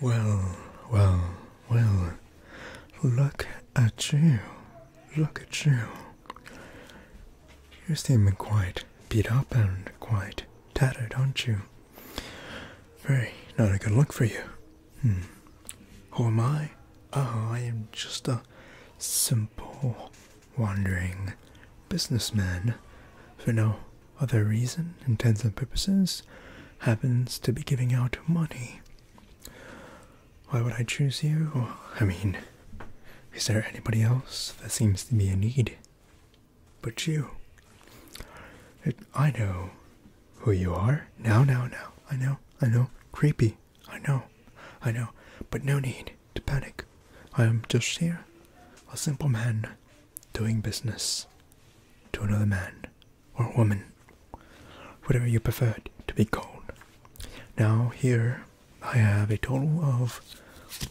Well, well, well, look at you, look at you. You seem quite beat up and quite tattered, aren't you? Very not a good look for you. Hmm. Who am I? Ah, I am just a simple, wandering businessman for now other reason, intents and purposes, happens to be giving out money. Why would I choose you? I mean, is there anybody else that seems to be in need but you? I know who you are. Now, now, now. I know, I know. Creepy. I know, I know. But no need to panic. I am just here, a simple man doing business to another man or woman, whatever you preferred to be called. Now, here I have a total of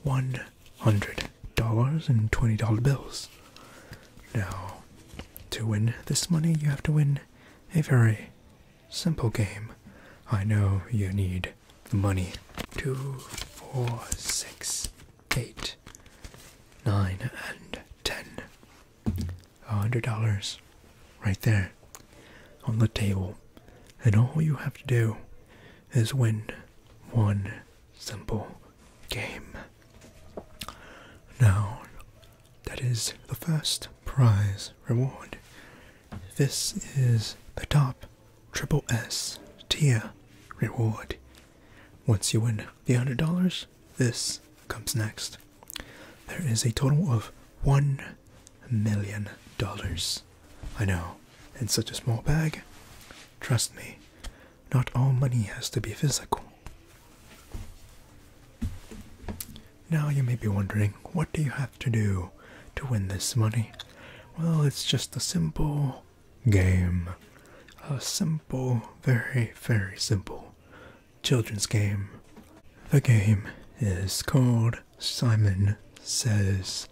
$100 in $20 bills. Now, to win this money, you have to win a very simple game. I know you need the money. Two, four, six, eight, nine, and ten. A hundred dollars right there on the table. And all you have to do is win one simple game. Now, that is the first prize reward. This is the top Triple S tier reward. Once you win the hundred dollars, this comes next. There is a total of one million dollars. I know, in such a small bag. Trust me, not all money has to be physical. Now you may be wondering, what do you have to do to win this money? Well, it's just a simple game. A simple, very, very simple children's game. The game is called Simon Says.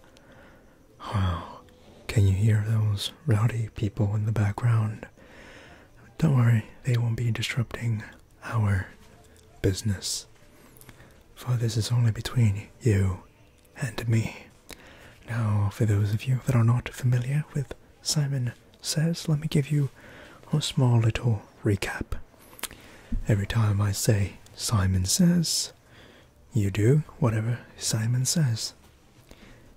Wow, can you hear those rowdy people in the background? Don't worry, they won't be disrupting our business. For this is only between you and me. Now, for those of you that are not familiar with Simon Says, let me give you a small little recap. Every time I say Simon Says, you do whatever Simon says.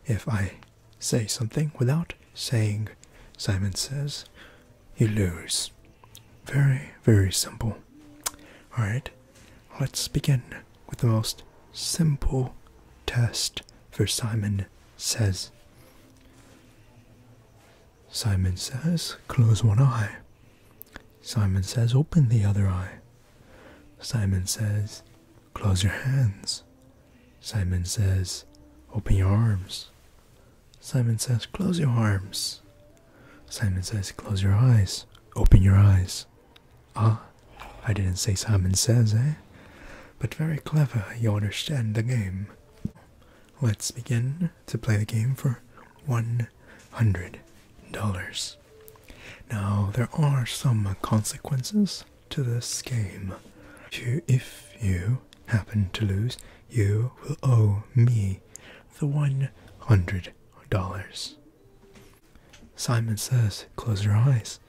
If I say something without saying Simon Says, you lose. Very, very simple. Alright, Let's begin with the most simple test for Simon Says. Simon Says, close one eye. Simon Says, open the other eye. Simon Says, close your hands. Simon Says, open your arms. Simon Says, close your arms. Simon says, Close your eyes. Open your eyes. Ah, I didn't say Simon says, eh? But very clever, you understand the game. Let's begin to play the game for $100. Now, there are some consequences to this game. If you happen to lose, you will owe me the 100 dollars. Simon says, close your eyes.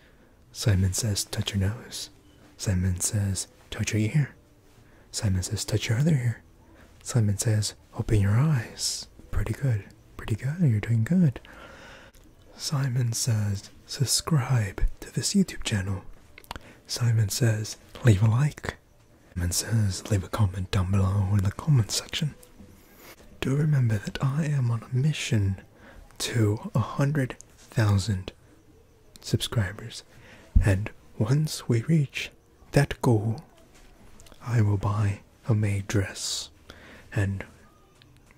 Simon says, touch your nose. Simon says, touch your ear. Simon says, touch your other ear. Simon says, open your eyes. Pretty good. Pretty good. You're doing good. Simon says, subscribe to this YouTube channel. Simon says, leave a like. And says, leave a comment down below in the comment section. Do remember that I am on a mission to a hundred thousand subscribers, and once we reach that goal, I will buy a maid dress and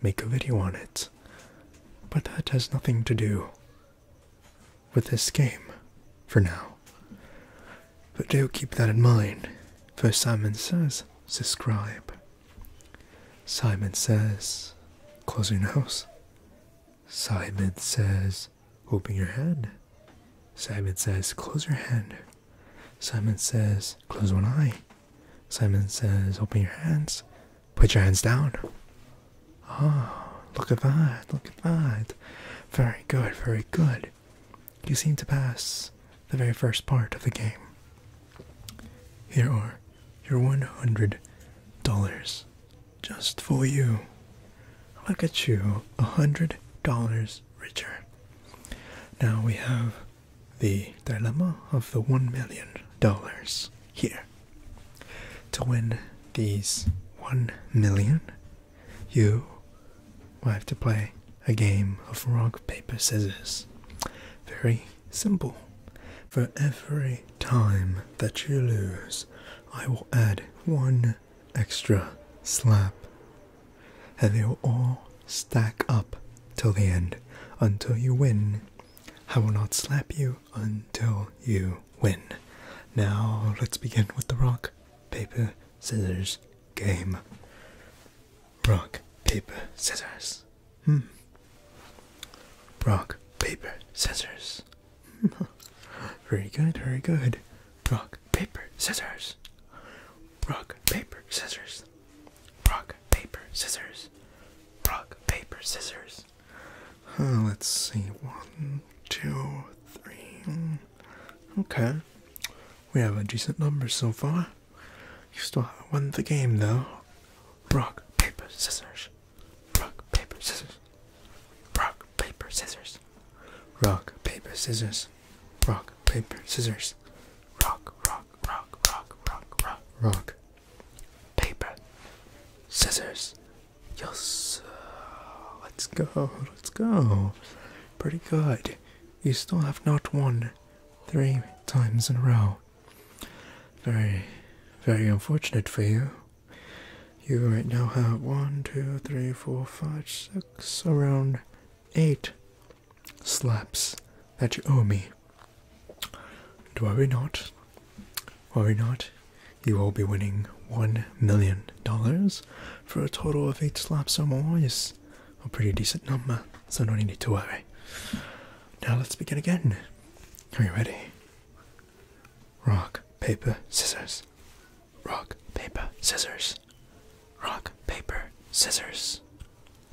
make a video on it. But that has nothing to do with this game for now. But do keep that in mind, for Simon says, subscribe. Simon says, close your nose. Simon says, open your hand. Simon says, close your hand. Simon says, close one eye. Simon says, open your hands. Put your hands down. Ah, look at that, look at that. Very good, very good. You seem to pass the very first part of the game. Here are your $100 just for you. Look at you, $100 richer. Now we have the dilemma of the $1 million here. To win these $1 you will have to play a game of rock, paper, scissors. Very simple. For every time that you lose, I will add one extra slap. And they will all stack up till the end until you win. I will not slap you until you when, Now, let's begin with the rock, paper, scissors game. Rock, paper, scissors. Hmm. Rock, paper, scissors. Hmm. very good, very good. Rock, paper, scissors. Rock, paper, scissors. Rock, paper, scissors. Rock, paper, scissors let's see. One, two, three. Okay. We have a decent number so far. You still haven't won the game, though. Rock, paper, scissors. Rock, paper, scissors. Rock, paper, scissors. Rock, paper, scissors. Rock, paper, scissors. Rock, rock, rock, rock, rock, rock, rock. Paper, scissors, Yes, let's go, let's go. Pretty good. You still have not won three times in a row. Very, very unfortunate for you. You right now have one, two, three, four, five, six, around eight slaps that you owe me. Do I not? Are we not, you will be winning $1 million for a total of 8 slaps or more is a pretty decent number, so no need to worry. Now let's begin again. Are you ready? Rock, paper, scissors. Rock, paper, scissors. Rock, paper, scissors.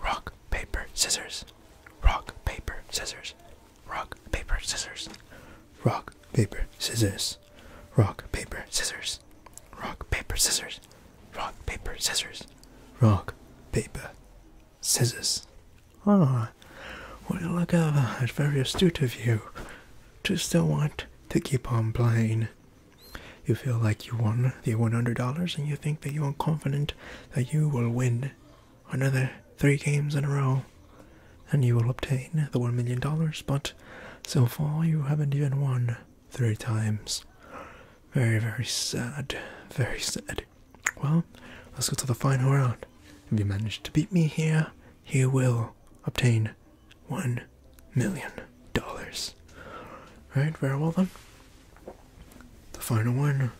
Rock, paper, scissors. Rock, paper, scissors. Rock, paper, scissors. Rock, paper, scissors. Rock, paper, scissors. Rock, paper, scissors. Rock, paper, scissors. Rock, paper, scissors. Ah, well, look at that. Very astute of you. To still want to keep on playing. You feel like you won the $100 and you think that you are confident that you will win another three games in a row, and you will obtain the $1 million, but so far you haven't even won three times. Very, very sad. Very sad. Well, let's go to the final round. If you manage to beat me here, you will obtain $1 million. Alright, very well then. The final one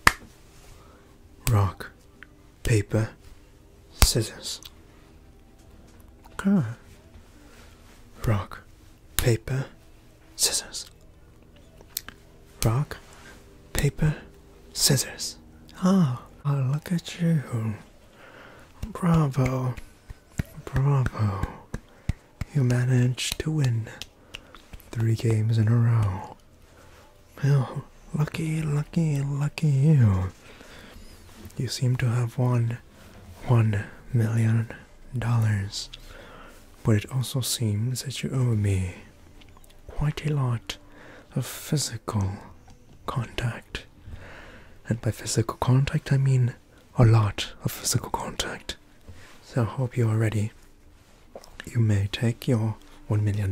rock, paper, scissors. Ah. Rock, paper, scissors. Rock, paper, scissors. Ah, oh, look at you. Bravo, bravo. You managed to win three games in a row. Well, lucky, lucky, lucky you. You seem to have won one million dollars, but it also seems that you owe me quite a lot of physical contact. And by physical contact, I mean a lot of physical contact. So I hope you are ready you may take your $1 million,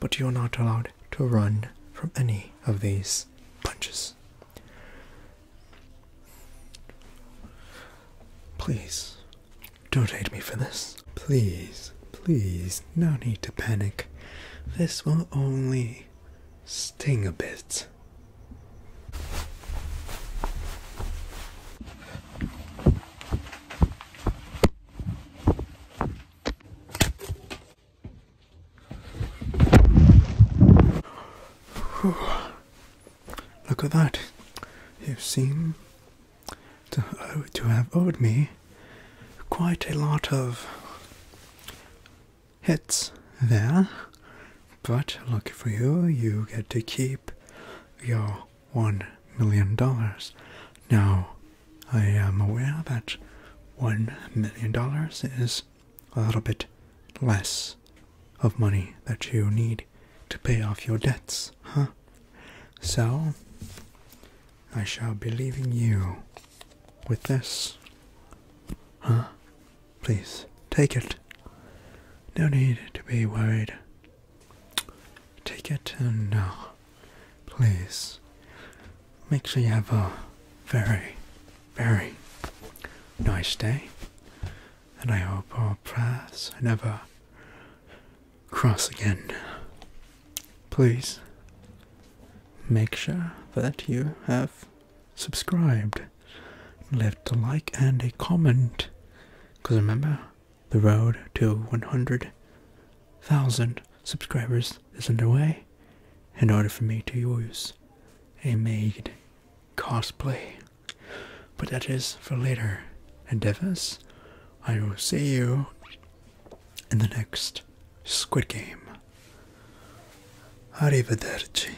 but you're not allowed to run from any of these punches. Please, don't hate me for this. Please, please, no need to panic. This will only sting a bit. Look at that. You seem to, uh, to have owed me quite a lot of hits there. But lucky for you, you get to keep your one million dollars. Now, I am aware that one million dollars is a little bit less of money that you need to pay off your debts, huh? So, I shall be leaving you with this. Huh? Please take it. No need to be worried. Take it and uh, please make sure you have a very, very nice day. And I hope our paths never cross again. Please make sure that you have subscribed left a like and a comment. Because remember, the road to 100,000 subscribers is underway in order for me to use a made cosplay. But that is for later endeavors. I will see you in the next Squid Game. Arrivederci.